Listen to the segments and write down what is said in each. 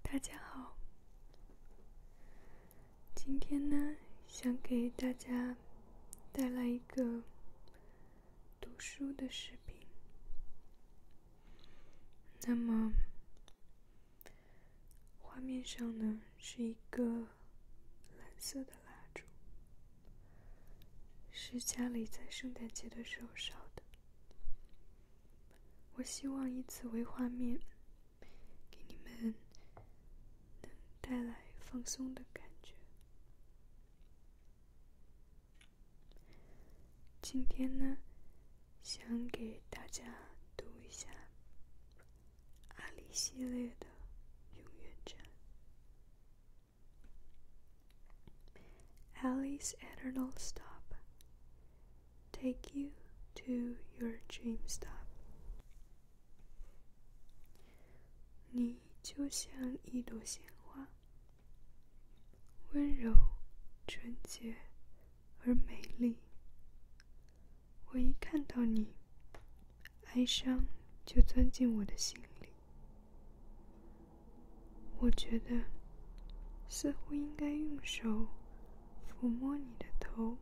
大家好，今天呢，想给大家带来一个读书的视频。那么，画面上呢是一个蓝色的蜡烛，是家里在圣诞节的时候烧的。我希望以此为画面，给你们能带来放松的感觉。今天呢，想给大家读一下阿里系列的《永远战》。Alice Eternal Stop Take you to your dream stop I 你就像一朵鲜花温柔纯洁而美丽我一看到你哀伤就钻进我的心里我觉得，似乎应该用手抚摸你的头。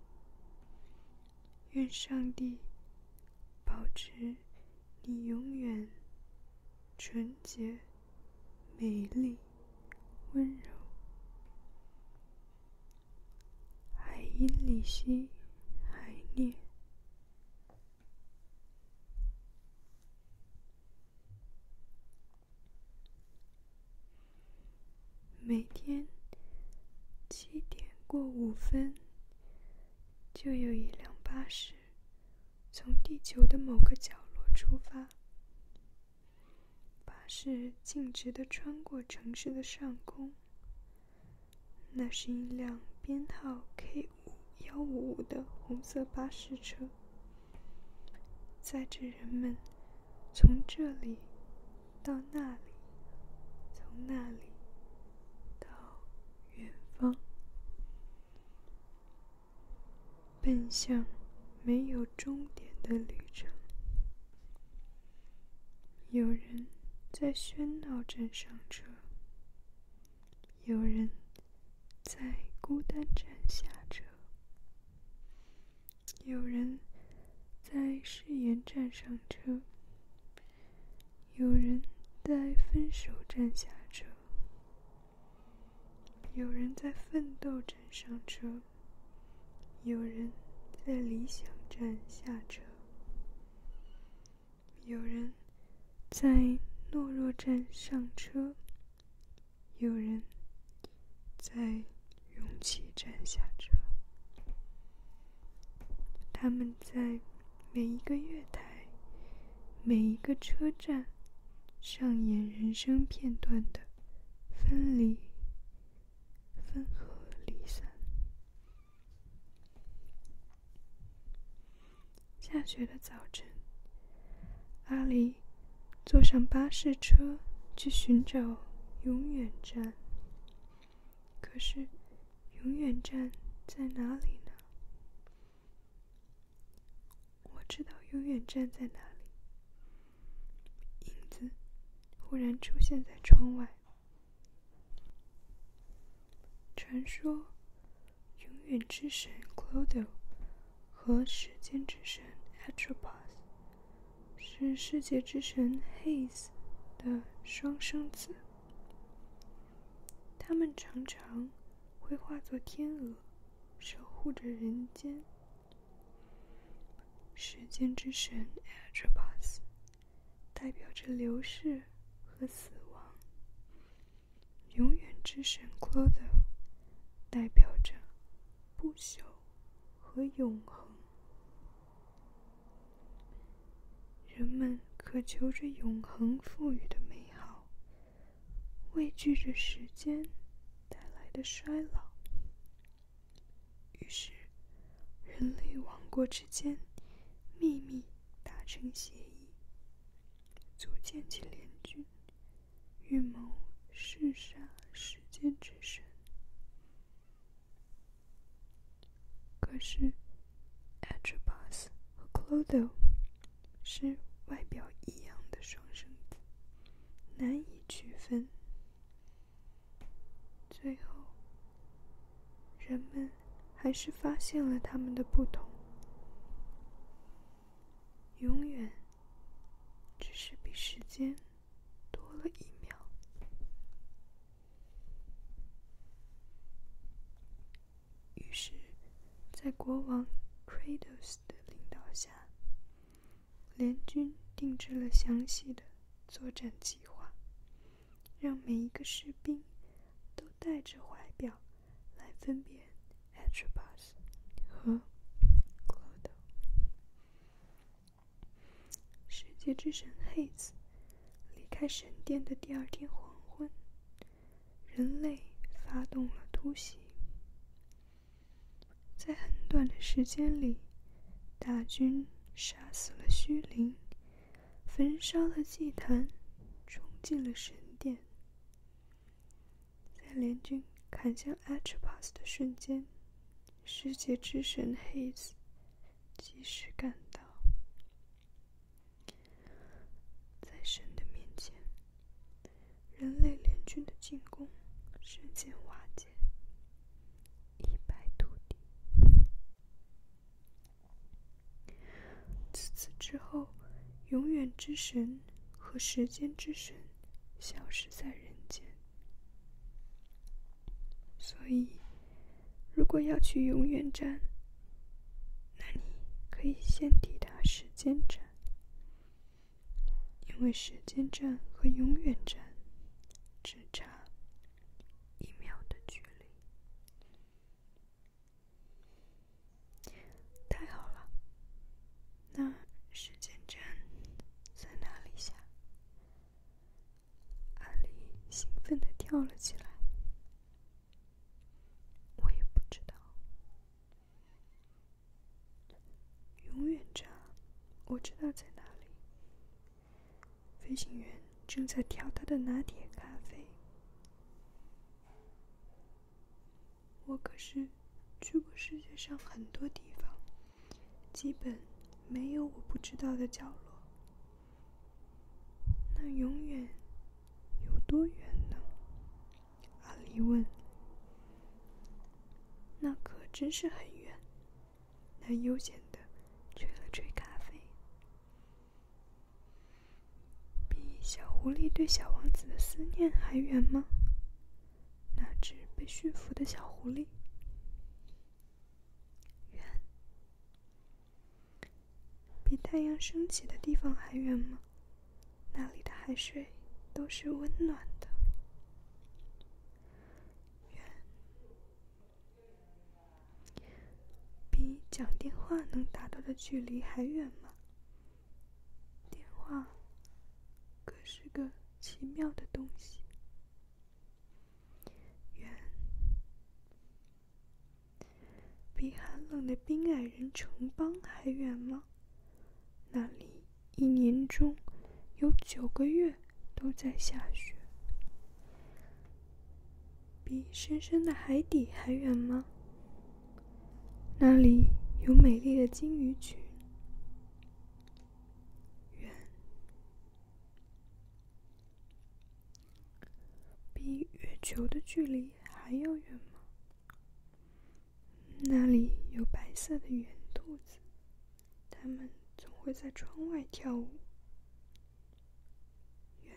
愿上帝保持你永远纯洁、美丽、温柔。海因里希·海涅。每天七点过五分，就有一辆巴士从地球的某个角落出发。巴士径直地穿过城市的上空，那是一辆编号为。幺五五的红色巴士车，载着人们从这里到那里，从那里到远方，奔向没有终点的旅程。有人在喧闹中上车。有人在孤单站下车，有人在誓言站上车，有人在分手站下车，有人在奋斗站上车，有人在理想站下车，有人在懦弱站上车。有人在勇气站下车，他们在每一个月台、每一个车站上演人生片段的分离、分合、离散。下雪的早晨，阿离坐上巴士车去寻找永远站。可是，永远站在哪里呢？我知道永远站在哪里。影子忽然出现在窗外。传说。永远之神 Clod o 和时间之神 a t r o p o s 是世界之神 Hades 的双生子，他们常常会化作天鹅，守护着人间。时间之神 a t r o p o s 代表着流逝和死亡。永远之神 Clod 代表着不朽和永恒，人们渴求着永恒赋予的美好，畏惧着时间带来的衰老，于是人类王国之间秘密达成协议，组建起联军。预谋弑杀世间之神，可是 a t r o p u s 和 Clodo 是外表一样的双生子，难以区分。最后，人们还是发现了他们的不同，永远。只是比时间多了一秒。于是，在国王 k r a t o s 的领导下，联军定制了详细的作战计划，让每一个士兵都带着怀表。来分辨，Atropos 和 c l o d o 世界之神 Hades 离开神殿的第二天黄昏，人类发动了突袭。在很短的时间里，大军杀死了虚灵，焚烧了祭坛，冲进了神殿。在联军砍向 Atropos 的瞬间，世界之神 Hades 及时赶到。在神的面前，人类联军的进攻瞬间瓦解，一败涂地。自此之后，永远之神。和时间之神消失在人间。所以，如果要去永远站，那你可以先抵达时间站，因为时间站和永远站只差一秒的距离。太好了！那时间站在哪里下？阿丽兴奋的跳了起来。我也不知道。永远站，我知道在哪里。飞行员正在调他的拿铁咖啡。我可是去过世界上很多地方，基本没有我不知道的角落。那永远有多远呢？阿离问。那可真是很远。他悠闲的吹了吹咖啡。比小狐狸对小王子的思念还远吗？那只被驯服的小狐狸，远。比太阳升起的地方还远吗？那里的海水都是温暖的。远。比讲电话能达到的距离还远吗？电话可是个奇妙的东西。远，比寒冷的冰矮人城邦还远吗？那里一年中有九个月都在下雪，比深深的海底还远吗？那里有美丽的金鱼群，远比月球的距离还要远吗？那里有白色的圆兔子，它们总会在窗外跳舞，远。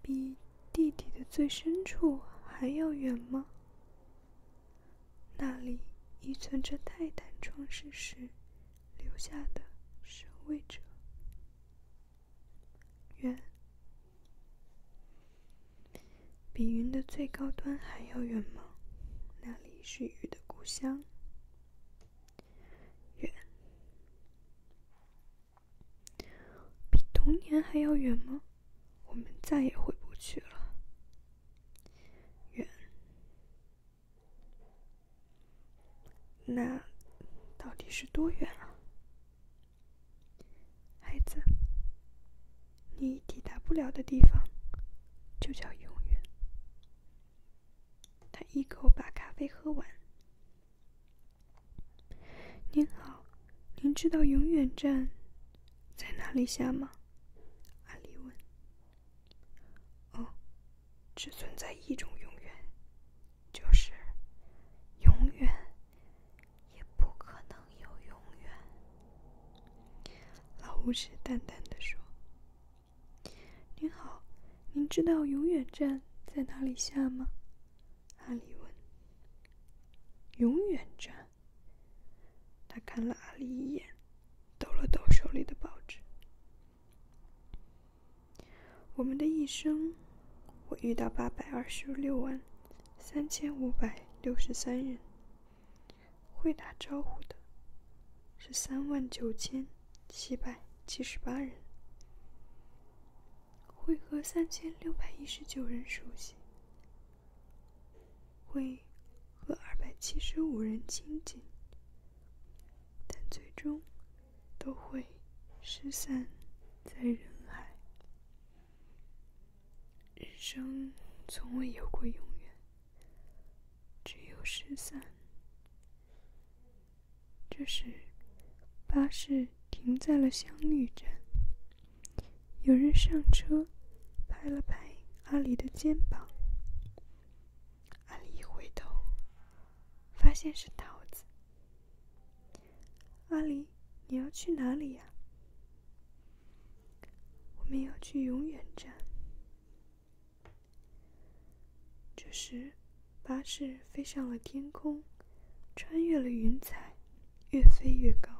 比地底的最深处还要远吗？那里遗存着泰坦创世时留下的守卫者。远。比云的最高端还要远吗？那里是雨的故乡。远。比童年还要远吗？我们再也回不去了。远？那到底是多远啊？孩子，你抵达不了的地方，就叫永远。他一口把咖啡喝完。您好，您知道永远站在哪里下吗？阿丽问。哦，只存在一种永远，就是永远，也不可能有永远。老巫师淡淡的说。您好，您知道永远站在哪里下吗？阿里问：“永远站。”他看了阿里一眼，抖了抖手里的报纸。我们的一生，我遇到八百二十六万三千五百六十三人，会打招呼的是三万九千七百七十八人。会和三千六百一十九人熟悉，会和二百七十五人亲近，但最终都会失散在人海。人生从未有过永远，只有失散。这时，巴士停在了相遇站。有人上车，拍了拍阿里的肩膀。阿里一回头，发现是桃子。阿里，你要去哪里呀？我们要去永远站。这时。巴士飞上了天空，穿越了云彩，越飞越高。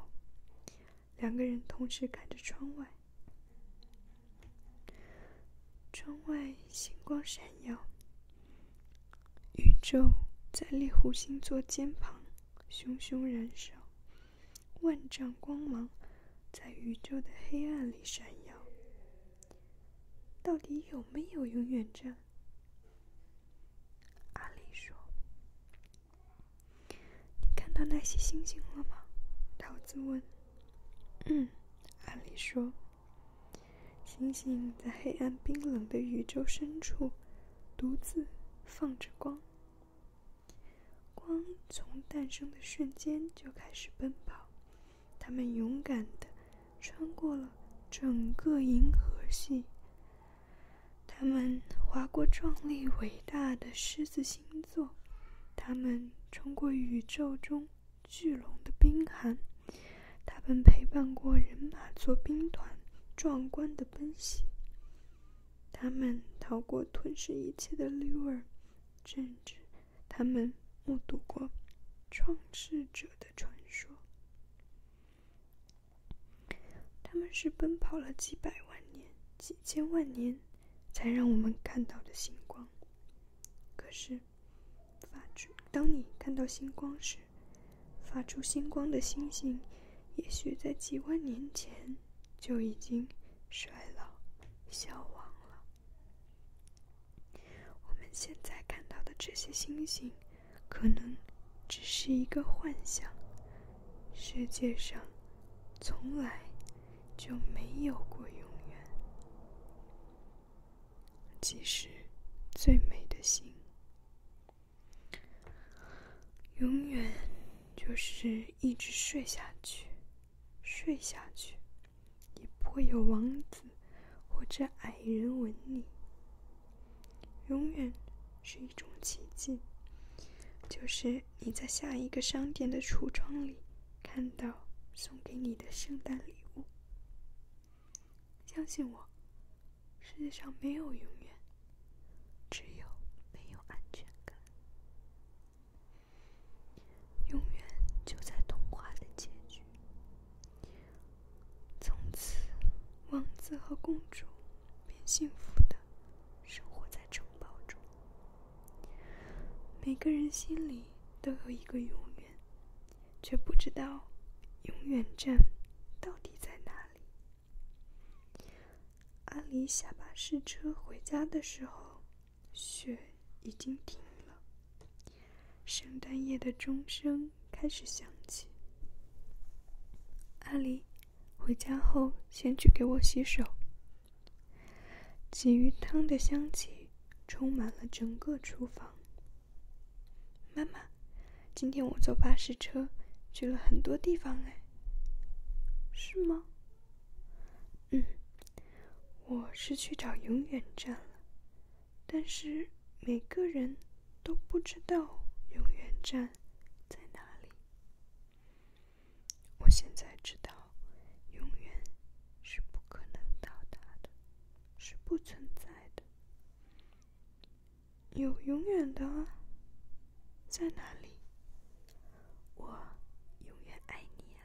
两个人同时看着窗外，窗外星光闪耀，宇宙在猎户星座肩旁熊熊燃烧，万丈光芒在宇宙的黑暗里闪耀。到底有没有永远站？阿里说：“你看到那些星星了吗？”桃子问。“嗯。”阿里说：“星星在黑暗冰冷的宇宙深处独自放着光，光从诞生的瞬间就开始奔跑，它们勇敢的。”穿过了整个银河系，他们划过壮丽伟大的狮子星座，他们穿过宇宙中巨龙的冰寒，他们陪伴过人马座兵团壮观的奔袭，他们逃过吞噬一切的绿儿，甚至他们目睹过创世者的传说。他们是奔跑了几百万年、几千万年，才让我们看到的星光。可是，发出当你看到星光时，发出星光的星星，也许在几万年前就已经衰老、消亡了。我们现在看到的这些星星。可能只是一个幻想。世界上从来就没有过永远，即使最美的心，永远就是一直睡下去，睡下去，也不会有王子或者矮人吻你。永远是一种奇迹，就是你在下一个商店的橱窗里看到送给你的圣诞礼物。相信我，世界上没有永远，只有没有安全感。永远就在童话的结局。从此，王子和公主便幸福的生活在城堡中。每个人心里都有一个永远，却不知道永远站到底在哪里。阿离下巴士车回家的时候，雪已经停了。圣诞夜的钟声。开始响起。阿离，回家后先去给我洗手。鲫鱼汤的香气充满了整个厨房。妈妈，今天我坐巴士车去了很多地方，哎，是吗？嗯，我是去找永远站了。但是每个人都不知道永远站在哪里。我现在知道，永远是不可能到达的，是不存在的。有永远的，在哪里？我永远爱你啊！